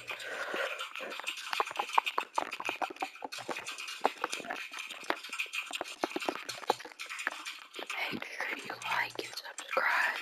Make sure you like and subscribe.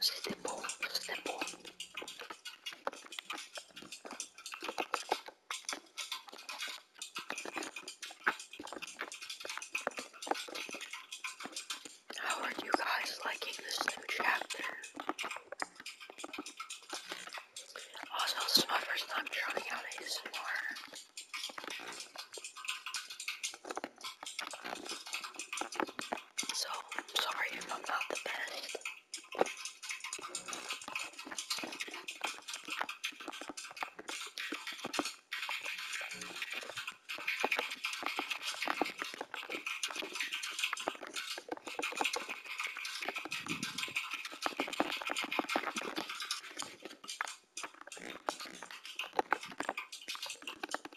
C'était beau, c'était beau. How are you guys liking this new chapter? Also, oh, this is my first time trying out ASMR. So, sorry if I'm not the best.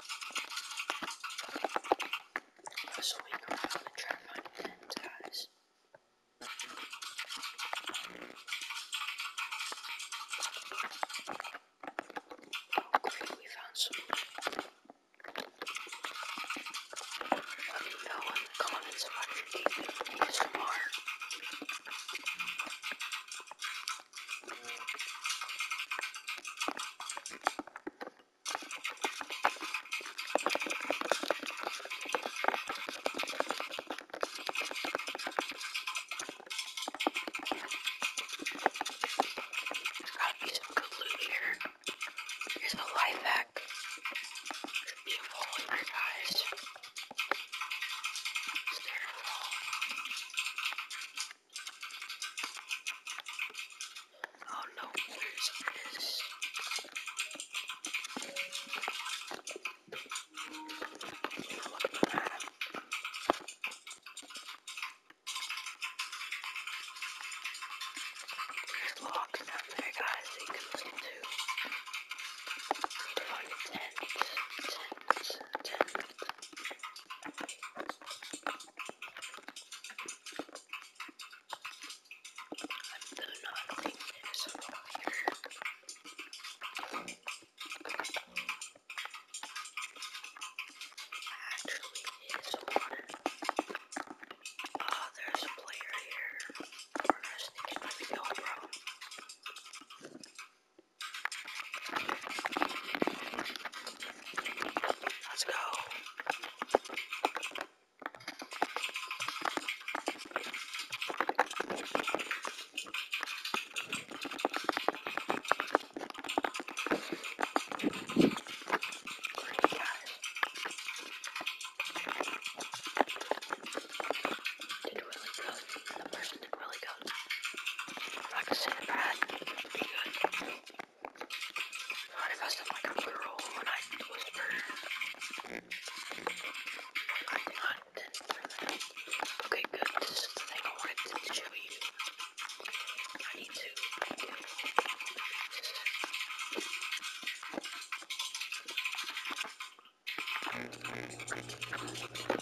rustling around and trying to find ties. Oh great, we found some. Let me know oh, in the comments about your game because from our there's gotta be some good loot here. Here's the life hack. Beautiful winter, guys. Stairfall. Oh no, where's this? Look at that. There's logs down there, guys, that you can listen to. They're like tents, tents, tents. I'm the nodding is over here. Actually, it's water. Oh, there's a player here. We're gonna sneak in with the old bro. Let's go. Great guys. Did really good. The person did really done. Like a Cinnabad, would be good. Not if I sound like a girl when I whisper. I did not then turn that up. Okay, good. This is the thing I wanted to show you. I need to. Get this.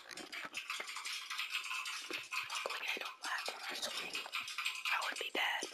Luckily, I don't laugh when I swing. I would be dead.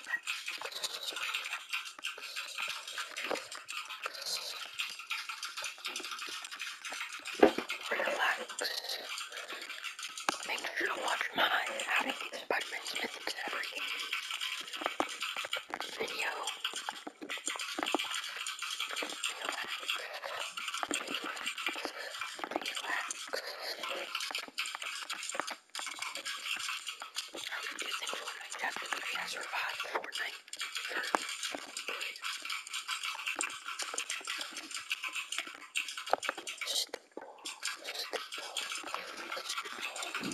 Relax. Make sure to watch my How to Eat Spider-Man Smith and Everything video. Relax. Relax. How can you think Fortnite has been looking at survived Fortnite for good? Stipple, stipple, stipple.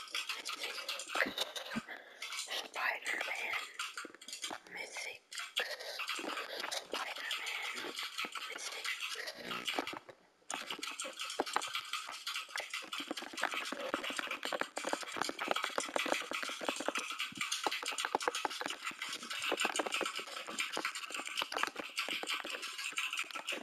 Spider-Man, Mythic, Spider-Man, Mythic.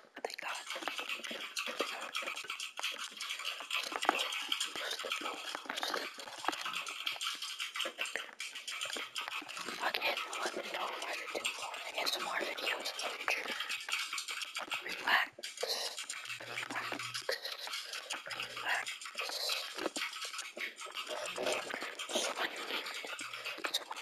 what they got. Again, let me know if I should do more ASMR videos in the future. Relax. Relax. Relax. It's when you need it. It's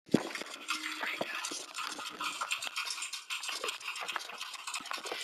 Right, guys.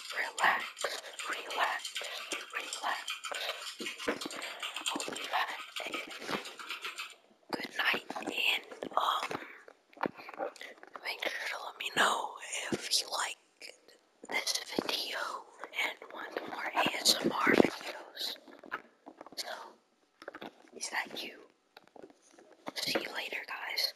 relax, relax, relax. Hope you good night and um make sure to let me know if you like this video and want more ASMR videos. So is that you? See you later guys.